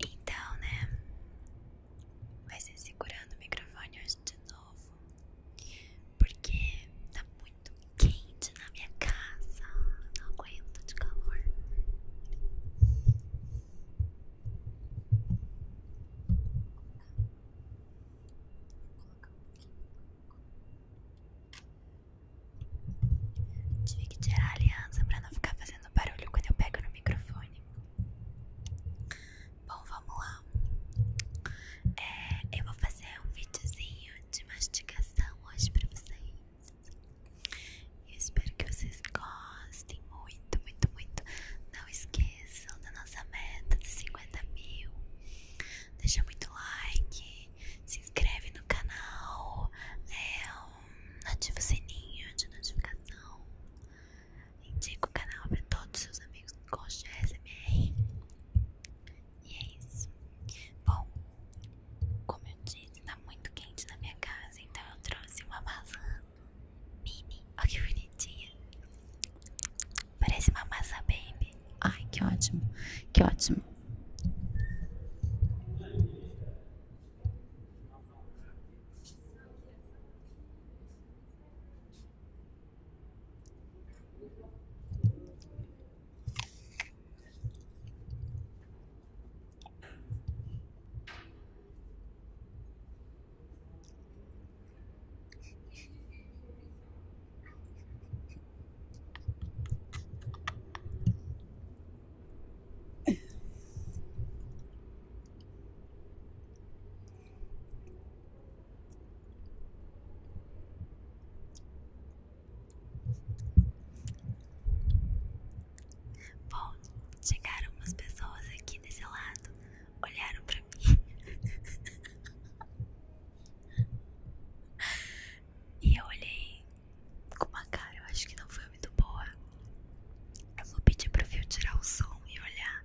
Então, né? Vai ser segurando o microfone hoje de novo, porque tá muito quente na minha casa. Não aguento de calor. Tive que tirar a aliança para não ficar fazendo barulho quando eu pego no microfone. Bom, vamos lá. É, eu vou fazer um videozinho de mastigação hoje para vocês. Eu espero que vocês gostem muito, muito, muito. Não esqueçam da nossa meta de 50 mil. Deixa muito like, se inscreve no canal, é ativa o sininho de notificação, indica o canal para todos os seus amigos que gostam de SMR. E é isso. Bom, como eu disse, tá muito quente na minha casa, então eu trouxe uma maçã mini. Olha que bonitinha. Parece uma massa baby. Ai, que ótimo. Que ótimo. Bom, chegaram umas pessoas aqui desse lado olharam pra mim. e eu olhei com uma cara, eu acho que não foi muito boa. Eu vou pedir pro Fio tirar o som e olhar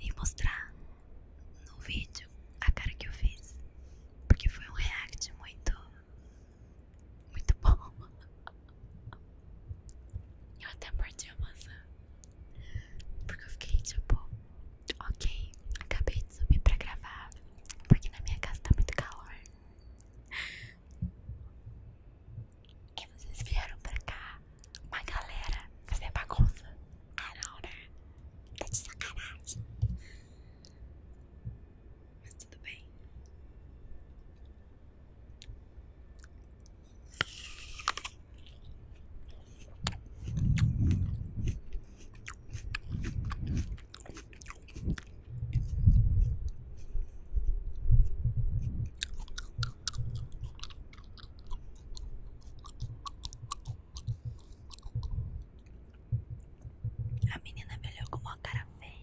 e mostrar no vídeo a cara que eu fiz. Porque foi um react muito. Muito bom. Eu até perdi a maçã. Porque eu fiquei tipo, ok, acabei de subir pra gravar, porque na minha casa tá muito calor. E vocês vieram pra cá, uma galera, fazer bagunça. Ah não, né? Tá de sacanagem. Mas tudo bem. A menina é melhor com uma cara feia.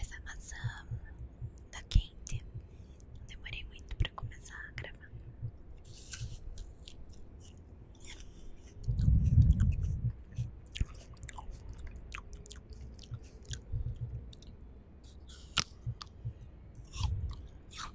Essa maçã tá quente. Demorei muito pra começar a gravar.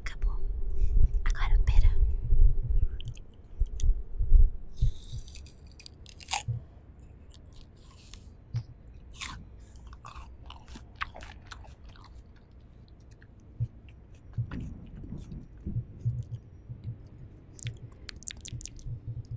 Acabou. Agora, pera.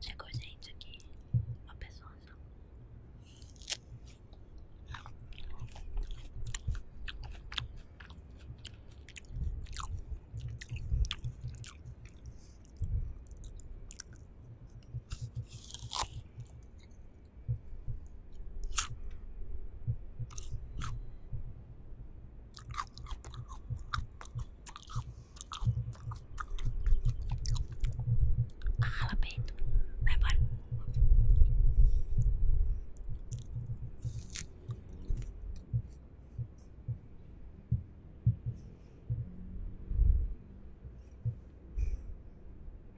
Chegou gente aqui, uma pessoa Arrala peito, vai embora.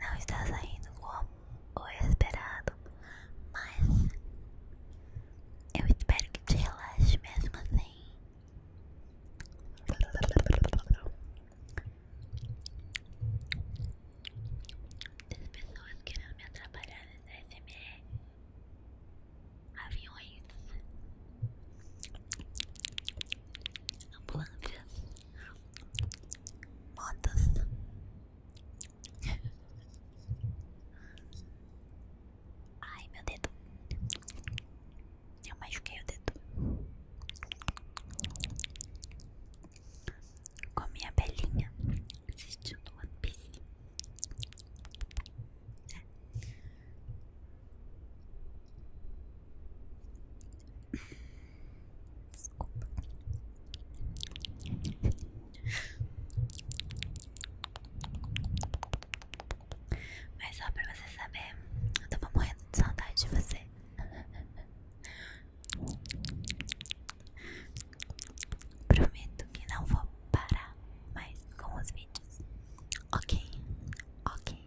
não está saindo como o esperado, mas eu espero que te relaxe mesmo assim. As pessoas querendo me atrapalhar nesse SMR. Aviões ambulâncias, modas Ai, meu dedo. Eu machuquei o dedo. com minha belinha assistindo One Piece. Desculpa. Mas só pra você saber, eu tava morrendo de saudade de você. Prometo que não vou parar mais com os vídeos. Ok, ok.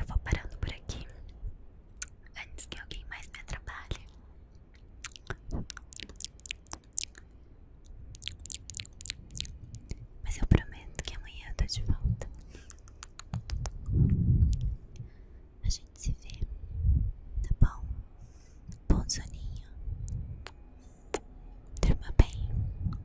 Eu vou parando por aqui antes que alguém mais me atrapalhe. Mas eu prometo que amanhã eu tô de volta. A gente se vê, tá bom? Bom soninho. Durma bem.